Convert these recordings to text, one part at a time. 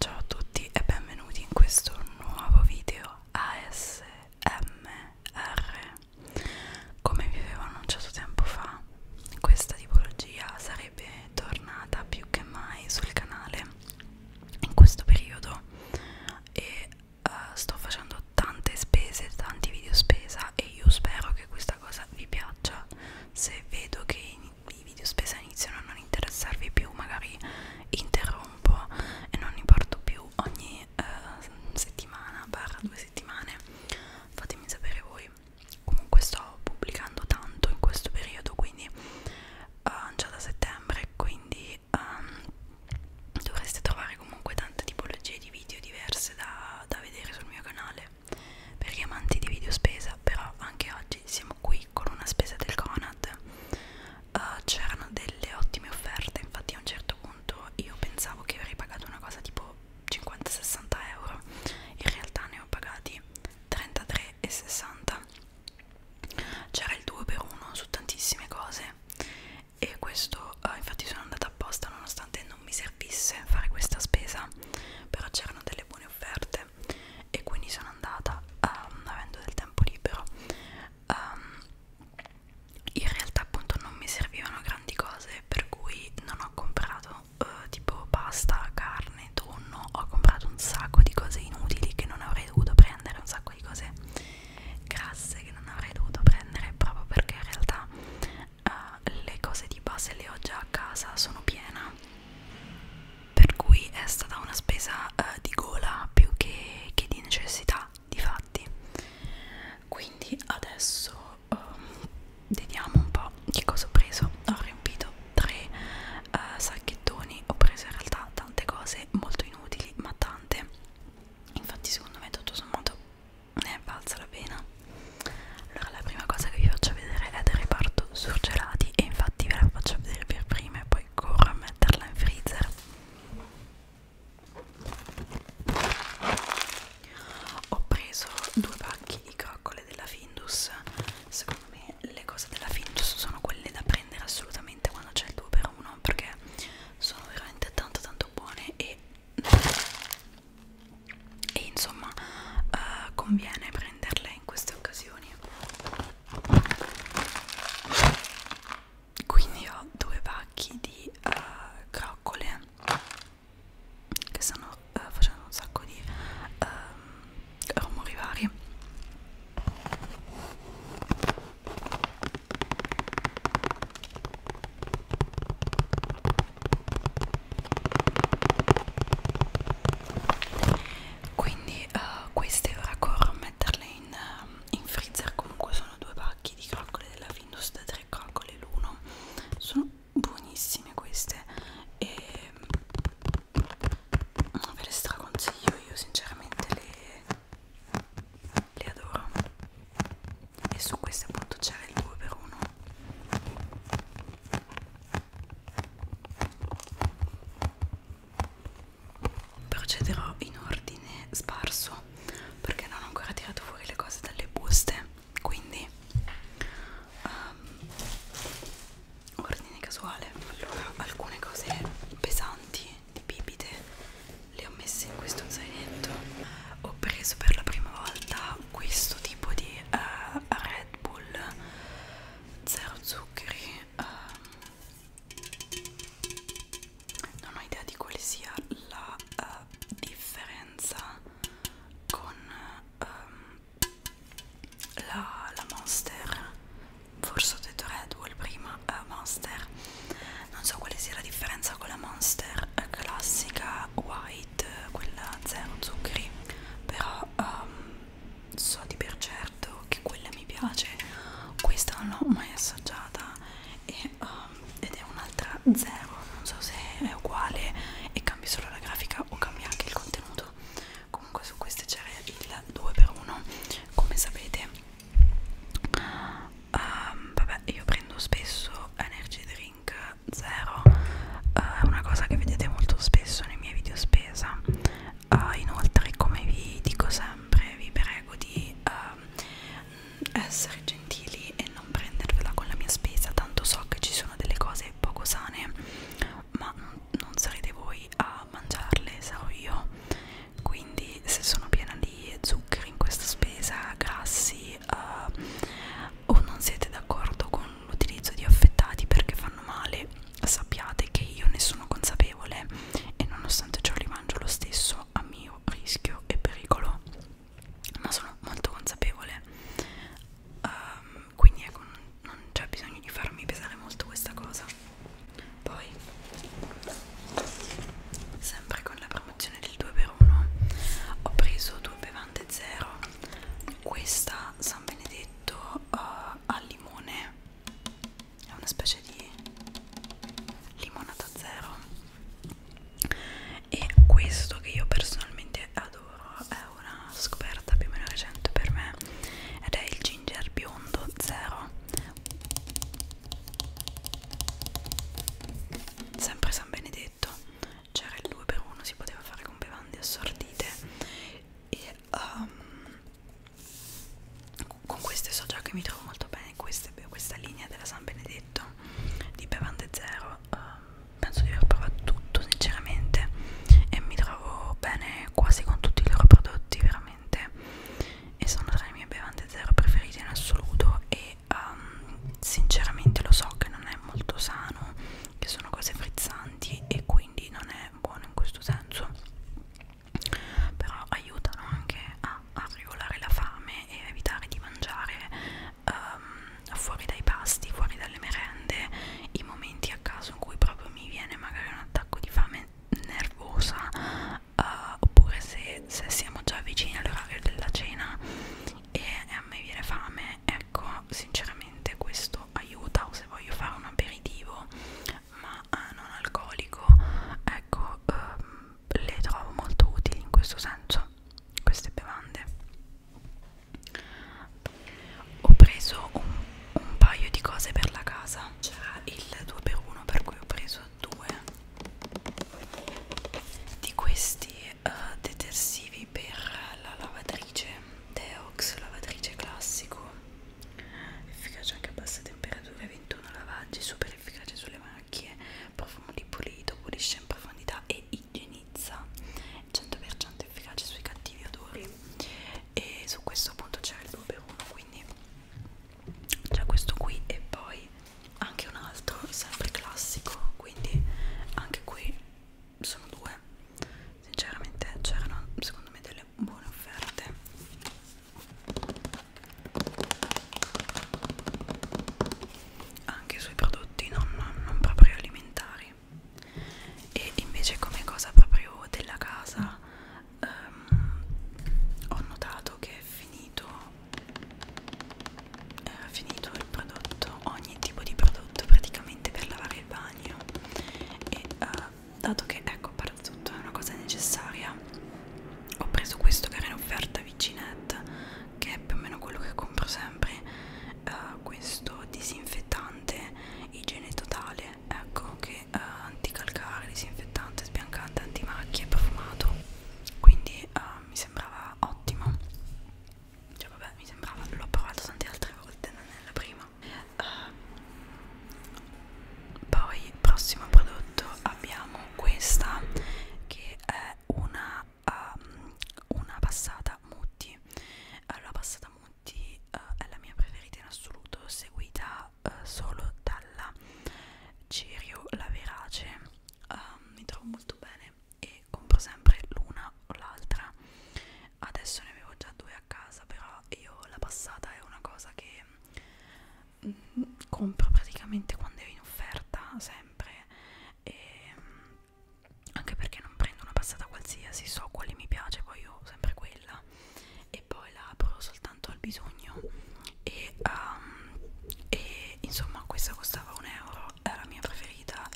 Ciao a tutti e benvenuti in questo nuovo video ASMR. Come vi avevo annunciato tempo fa, questa tipologia sarebbe tornata più che mai sul canale in questo periodo e uh, sto facendo tante spese, tanti video spesa e io spero che questa cosa vi piaccia. Se vedo che i video spesa iniziano a non interessarvi più, magari interrompo e non li porto più ogni eh, settimana, barra due settimane, fatemi sapere voi. Comunque sto pubblicando tanto in questo periodo, quindi eh, già da settembre, quindi ehm, dovreste trovare comunque tante tipologie di video diverse da, da vedere sul mio canale per gli amanti di video spesa però anche oggi siamo qui con una spesa del Conad uh, c'erano delle ottime offerte infatti a un certo punto io pensavo che avrei pagato una cosa tipo 50-60 euro in realtà ne ho pagati 33,60 c'era il 2 per 1 su tantissime cose e questo uh, infatti sono andata apposta nonostante non mi servisse fare questa spesa però c'erano delle buone offerte e quindi sono andata um, avendo del tempo libero um, in realtà appunto non mi servivano grandi cose per cui non ho comprato uh, tipo pasta, carne, tonno ho comprato un sacco di cose inutili che non avrei dovuto prendere un sacco di cose grasse che non avrei dovuto prendere proprio perché in realtà uh, le cose di base le ho già a casa sono piena per cui è stata una spesa eh, di gola più che, che di necessità di fatti quindi adesso um, vediamo un po' che cosa ho preso ho riempito tre uh, sacchettoni ho preso in realtà tante cose molto inutili ma tante infatti secondo me tutto sommato ne è valsa la pena allora la prima cosa che vi faccio vedere è del reparto surgelati e infatti ve la faccio vedere per prima e poi corro a metterla in freezer ho preso due pacchi di coccole della Findus secondo me le cose della Findus sono quelle da prendere assolutamente quando c'è il 2 per 1 perché sono veramente tanto tanto buone e e insomma eh, conviene prenderle in queste occasioni quindi ho due pacchi di eh, croccole che stanno eh, facendo un sacco di eh, rumori vari quindi uh, queste ora corro a metterle in, eh, in freezer comunque sono due pacchi di croccole della Findus da 3 croccole l'uno sono buonissime queste e mm, ve le straconsiglio io sinceramente le, le adoro e su queste appunto c'era il 2 per 1 procederò in ordine sparso perché non ho ancora tirato fuori le cose dalle buste quindi um, ordine casuale allora alcune cose pesanti di bibite le ho messe in questo zainetto ho preso per la prima volta questo tipo di uh, Red Bull zero zuccheri ehm, non ho idea di quale sia la eh, differenza con ehm, la, la monster forse ho detto Red Bull prima eh, monster non so quale sia la differenza con la monster eh, classica white Light, quella zero zuccheri, però um, so di per certo che quella mi piace, questa non l'ho mai assaggiata e, um, ed è un'altra zero, non so se è uguale e cambia solo la grafica o cambia anche il contenuto. Comunque su queste c'era il 2x1, come sapete. Um, vabbè, io prendo spesso energy drink zero eh, è uh, una cosa che vedete molto spesso nei miei video spesa uh, inoltre come vi dico sempre vi prego di uh, essere gentili e non prendervela con la mia spesa tanto so che ci sono delle cose poco sane ma non sarete voi a mangiarle sarò io quindi se sono piena di zuccheri in questa spesa grassi uh, o non siete d'accordo con l'utilizzo di affettati perché fanno male, sappiate che io ne sono consapevole e nonostante ciò li mangio lo stesso a mio rischio e pericolo, ma sono molto consapevole. Um, quindi ecco, non c'è bisogno di farmi pesare molto questa cosa. Poi, sempre con la promozione del 2x1, ho preso due bevande zero questa San Benedetto uh, al limone è una specie di limonata zero e questo che io personalmente adoro è una scoperta più o meno recente per me ed è il ginger biondo zero sempre San Benedetto c'era il 2x1 si poteva fare con bevande assortite e um, con queste so già che mi trovo molto bene queste, questa linea della San Benedetto di bevande zero um, penso di aver provato tutto sinceramente e mi trovo bene quasi con tutti i loro prodotti veramente e sono tra le mie bevande zero preferite in assoluto e um, sinceramente lo so che non è molto sano che sono cose frizzanti e quindi non è buono in questo senso però aiutano anche a, a regolare la fame e a evitare di mangiare um, fuori dai pasti, fuori dalle merende i momenti a caso in cui proprio mi viene magari un attacco di fame nervosa uh, oppure se, se siamo già vicini all'orario della cena e, e a me viene fame ecco sinceramente questo aiuta o se voglio fare un aperitivo ma eh, non alcolico ecco ehm, le trovo molto utili in questo senso queste bevande ho preso un, un paio di cose per la casa c'era il 2x1 per cui ho preso due di questi uh, detersivi per la lavatrice Deox, lavatrice classico efficace anche a basse temperature 21 lavaggi, super efficace sulle macchie profumo di pulito, pulisce in profondità e igienizza 100% efficace sui cattivi odori e su questo appunto c'era il 2x1 quindi c'è questo qui e poi anche un altro sempre classico quindi anche qui sono due sinceramente c'erano secondo me delle buone offerte anche sui prodotti non, non proprio alimentari e invece come cosa proprio della casa ehm, ho notato che è finito eh, finito il prodotto, ogni tipo di prodotto praticamente per lavare il bagno e eh, dato che ecco tutto è una cosa necessaria ho preso questo che era in offerta vicinette che è più o meno quello che compro sempre eh, questo disinfettante igiene totale ecco che eh, anticalcare disinfettante sbiancante antimacchie profumato quindi eh, mi sembrava ottimo cioè vabbè mi sembrava l'ho provato tante altre volte non è la prima uh, poi prossimo prodotto abbiamo questa che è una um, una passata mutti uh, la passata mutti uh, è la mia preferita in assoluto seguita uh, solo dalla Cirio la Verace uh, mi trovo molto bene e compro sempre l'una o l'altra adesso ne avevo già due a casa però io la passata è una cosa che mh, mm, compro praticamente quando è in offerta sempre e, mm, anche perché non prendo una passata qualsiasi so quale mi piace poi ho sempre quella e poi la apro soltanto al bisogno e, um, e insomma questa costava un euro è la mia preferita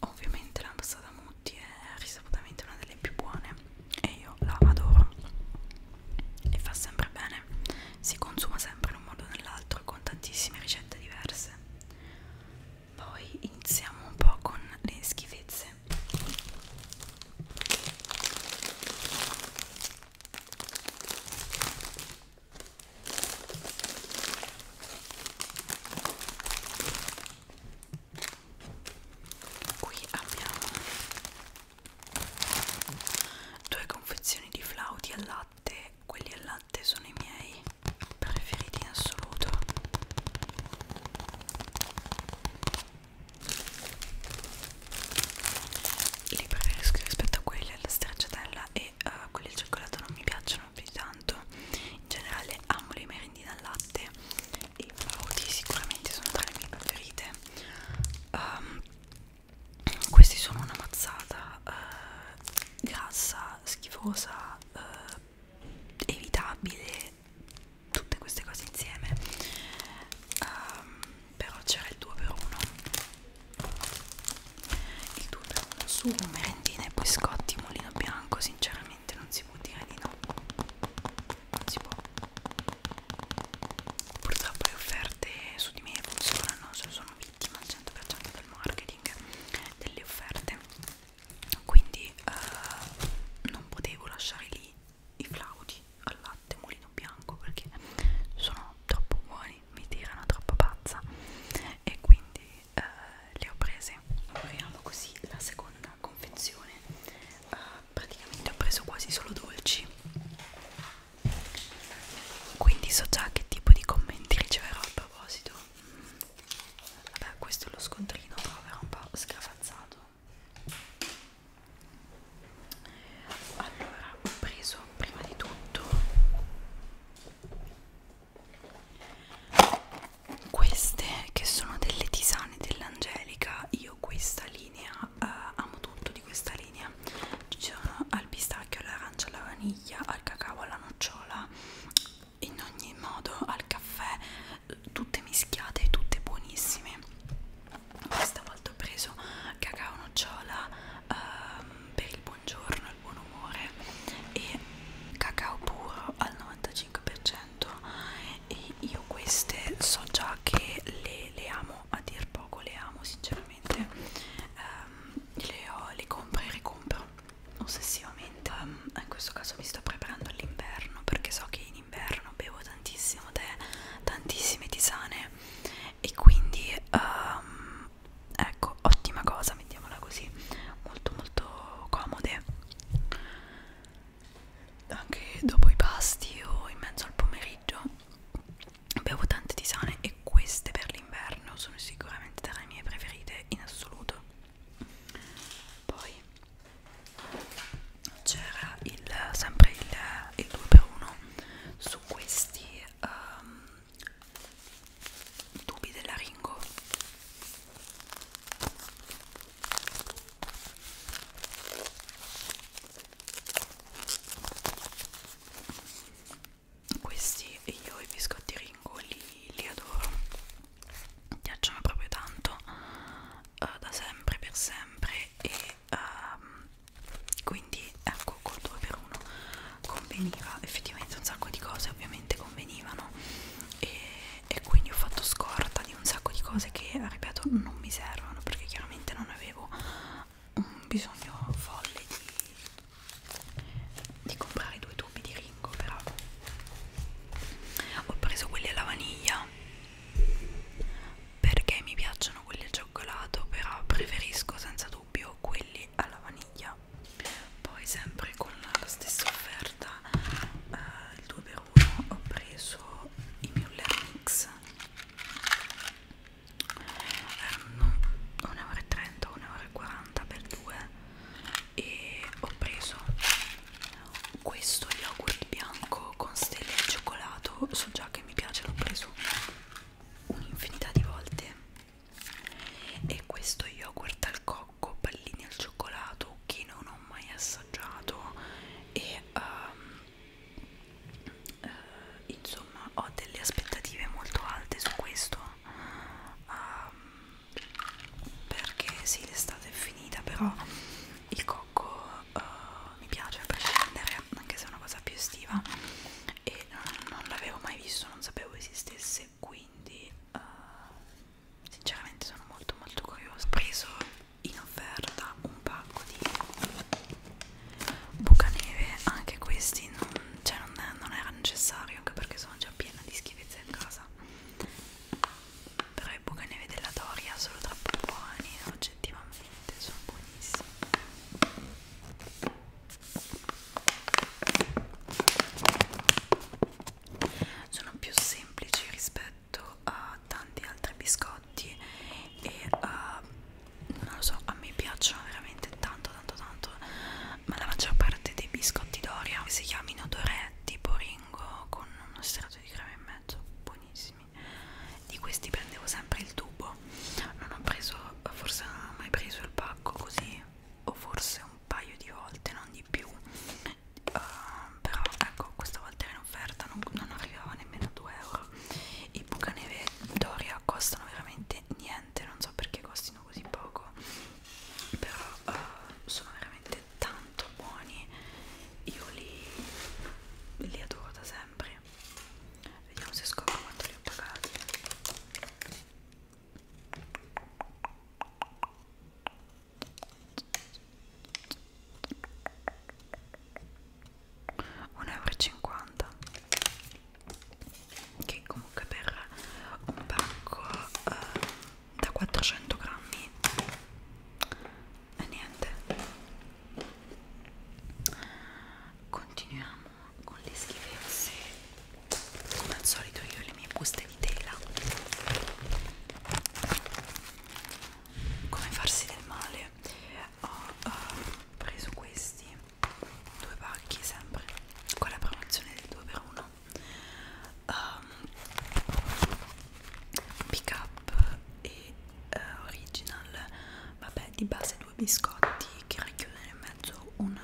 Ovviamente la passata Mutti è risaputamente una delle più buone e io la adoro e fa sempre bene, si consuma sempre in un modo o nell'altro con tantissime ricette diverse. Poi iniziamo un po' con le schifezze. Qui abbiamo due confezioni di flauti al latte, quelli al latte sono i miei preferiti in assoluto. Li preferisco rispetto a quelli alla stracciatella e e uh, quelli al cioccolato non mi piacciono più tanto in generale amo le merendine al latte e frutti sicuramente sono tra le mie preferite um, questi sono una mazzata uh, grassa, schifosa uh, evitabile tutte queste cose insieme um, però c'era il 2 per 1 il tutto è uno sugo, merendine, biscotti, mulino bianco, sinceramente non si può dire di no. Non si può. Purtroppo le offerte su di me funzionano, sono vittima al 100% del marketing, delle offerte. Quindi eh, non potevo lasciare lì i flaudi al latte mulino bianco perché sono troppo buoni mi tirano troppo pazza e quindi eh, le ho prese apriamo così la seconda confezione eh, praticamente ho preso quasi solo dolci quindi so già che tipo di commenti riceverò a proposito vabbè questo è lo scontrino però verrà un po' scravazzato allora ho preso prima di tutto queste che sono delle tisane dell'angelica io questa linea eh, amo tutto di questa linea ci sono al pistacchio all'arancia alla vaniglia al cacao alla nocciola in ogni modo al caffè tutte mischiate tutte buonissime questa volta ho preso cacao nocciola ehm, per il buongiorno, il buon umore e cacao puro al 95% e io queste so già che le, le amo a dir poco, le amo sinceramente ehm, le, ho, le compro e ricompro ossessivamente um, in questo caso mi sto preparando all'inverno perché so che in inverno bevo tantissimo tè tantissime tisane e quindi um, ecco ottima cosa mettiamola così molto molto comode anche dopo i pasti o in mezzo al pomeriggio bevo tante tisane e queste per l'inverno sono sicuramente tra le mie preferite in assoluto poi c'era sempre il, il 2x1 su questi um, i tubi della Ringo questi io i biscotti Ringo li, li adoro mi piacciono proprio tanto uh, da sempre per sempre e um, quindi ecco col 2x1 conveniva effettivamente un sacco di cose ovviamente convenivano e, e quindi ho fatto scorta di un sacco di cose che ripeto non mi servono perché chiaramente non avevo un bisogno folle di, di comprare due tubi di ringo però ho preso quelli alla vaniglia perché mi piacciono quelli al cioccolato però preferisco senza dubbio dubbio quelli alla vaniglia poi sempre con la stessa offerta eh, il 2x1 ho preso i Müller Mix erano 1,30 1,40 per 2 e ho preso questo yogurt bianco con stelle di cioccolato so già che mi piace l'ho preso un'infinità di volte e questo yogurt al cocco, pallini al cioccolato che non ho mai assaggiato e um, uh, insomma ho delle aspettative molto alte su questo um, perché sì l'estate è finita però il cocco uh, mi piace a prescindere anche se è una cosa più estiva e non, non l'avevo mai visto, non sapevo esistesse, quindi uh, sinceramente sono molto molto curiosa. Ho preso in offerta un pacco di bucaneve, anche questi non, cioè non, è, non era necessario, anche perché sono già piena di schifezze in casa. Però i bucaneve della Doria sono troppo buoni oggettivamente veramente sono buonissimi sono più semplici rispetto a tanti altri biscotti e uh, non lo so a me piacciono veramente tanto tanto tanto ma la maggior parte dei biscotti Doria si chiamino Dorè tipo Ringo con uno strato di crema in mezzo buonissimi di questi prendevo sempre il tubo non ho preso forse non ho mai preso il pacco così o forse un paio di volte non di più uh, però ecco questa volta era in offerta non, non arrivava nemmeno a 2 euro i bucaneve Doria costano veramente niente non so perché costino così poco però uh, sono veramente tanto buoni io li, li adoro da sempre Vediamo se scopro quanto li ho pagati. Un euro e cinquanta che comunque per un pacco eh, da 400 grammi e niente continuiamo con le schifezze come al solito io e le mie buste di tela come farsi del male ho uh, preso questi due pacchi sempre con la promozione del 2x1 um, ehm, pick up e uh, original vabbè di base 2 due biscotti che racchiudono in mezzo una,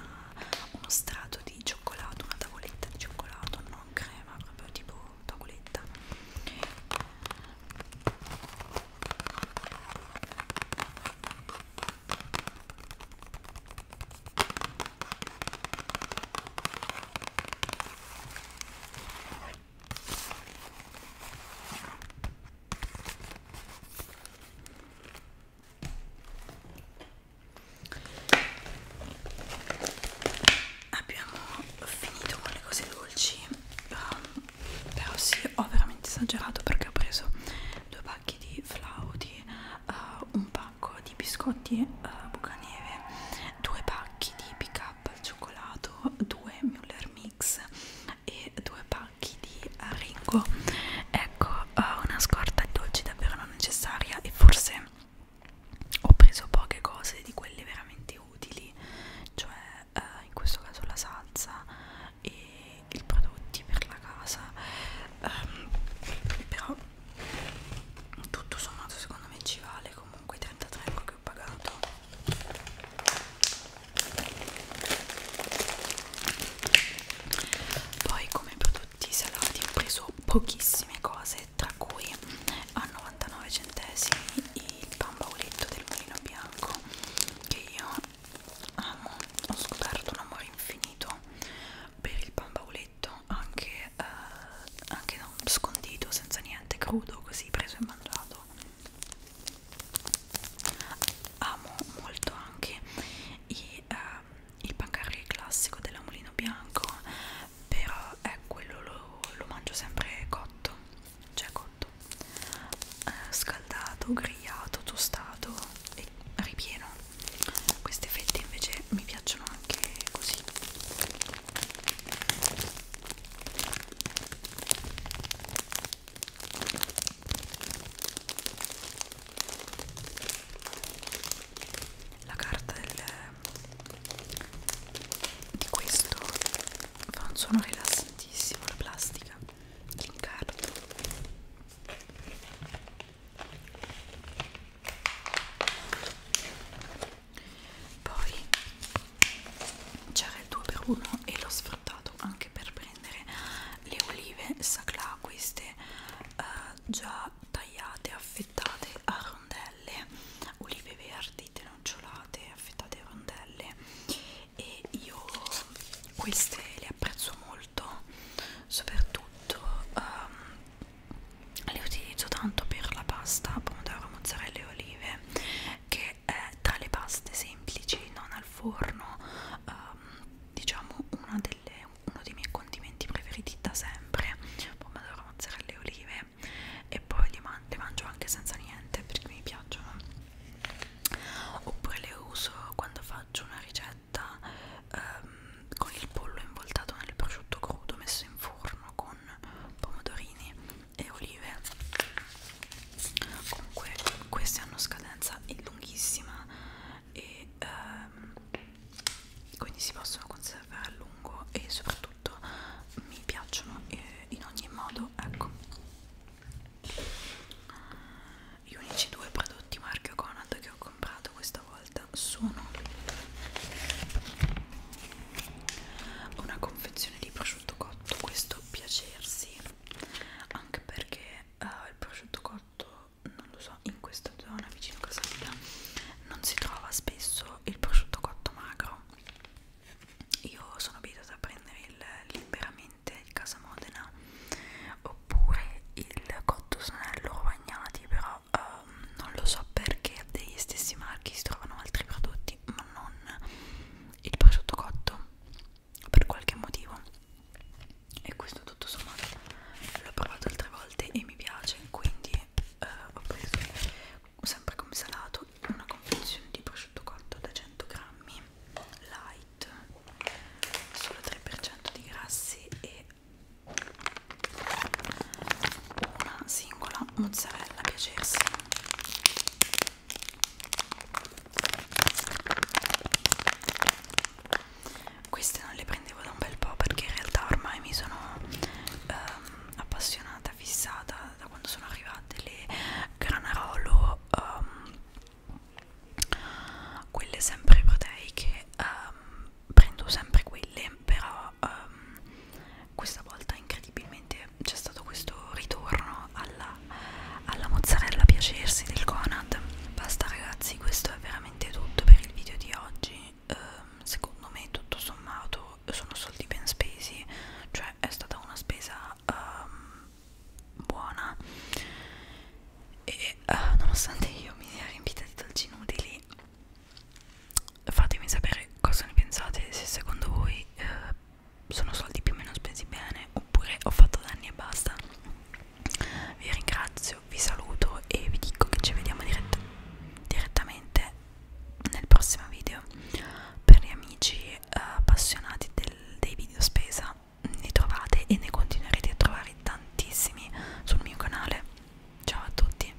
uno strato di cioccolato, una tavoletta di cioccolato, non crema, proprio tipo tavoletta. Abbiamo finito con le cose dolci, um, però sì, ho veramente esagerato perché ho preso due pacchi di flauti, uh, un pacco di biscotti uh, bucanieve, due pacchi di pick up al cioccolato, due Müller Mix, e due pacchi di eh, Ringo ecco eh, una scorta di dolci davvero non necessaria e forse ho preso poche cose di quelle veramente utili cioè eh, in questo caso la salsa e i prodotti per la casa um, però tutto sommato secondo me ci vale comunque 33,99 che ho pagato poi come prodotti salati ho preso pochissime cose tra cui a 99 centesimi il pan bauletto del mulino bianco che io amo ho scoperto un amore infinito per il pan bauletto anche, eh, anche no, scondito senza niente crudo così preso e mangiato amo molto anche i, uh, il pancarri classico della Mulino Bianco però è eh, quello lo, lo mangio sempre cotto cioè cotto eh, scaldato, grigliato, tostato e ripieno queste fette invece mi piacciono anche così la carta del, di questo fa un suono rilassantissimo la plastica l'incarto poi c'era il 2x1 e lo sfratto sfruttato anche per prendere le olive sacla queste eh, già tagliate affettate a rondelle olive verdi tenocciolate affettate a rondelle e io queste le apprezzo molto soprattutto um, le utilizzo tanto per la pasta pomodoro mozzarella e olive che eh, tra le paste semplici non al forno ehm, diciamo una delle, uno dei miei condimenti preferiti da sempre pomodoro, mozzarella e olive e poi li man le mangio anche senza niente perché mi piacciono oppure le uso quando faccio una ricetta ehm, con il pollo involtato nel prosciutto crudo messo in forno con pomodorini e olive comunque queste hanno scadenza lunghissima e ehm, quindi si possono conservare a lungo e soprattutto mi piacciono eh, in ogni modo ecco gli unici due prodotti marchio Conad che ho comprato questa volta sono una confezione di prosciutto prosciutto cotto questo piacersi anche perché uh, il prosciutto cotto non lo so in questa zona vicino a casa mia non si trova spesso il prosciutto cotto magro io sono abituata a prendere il liberamente il casa modena oppure il cotto snello rovagnati però um, non lo so perché degli stessi marchi si trovano altri prodotti piaciuti ma non il prosciutto cotto per qualche motivo e questo tutto sommato l'ho provato altre volte e mi piace quindi eh, ho preso sempre come salato una confezione di prosciutto cotto da 100 grammi light solo 3% di grassi e una singola mozzarella a piacersi queste non le prendevo da un bel po' perché in realtà ormai mi sono ehm, appassionata, fissata da quando sono arrivate le granarolo, ehm, quelle sempre proteiche. Ehm, prendo sempre quelle, però ehm, questa volta incredibilmente c'è stato questo ritorno alla, alla mozzarella piacersi del Conad basta ragazzi questo è veramente tutto per il video di oggi eh, secondo me tutto sommato sono soldi ben spesi cioè è stata una spesa um, buona e uh, nonostante io mi sia riempita di dolci inutili fatemi sapere cosa ne pensate se secondo voi eh, sono soldi più o meno spesi bene oppure ho fatto danni e basta vi ringrazio vi saluto e vi dico che ci vediamo dirett direttamente nel prossimo video per gli amici eh, appassionati del, dei video spesa ne trovate e ne continuerete a trovare tantissimi sul mio canale ciao a tutti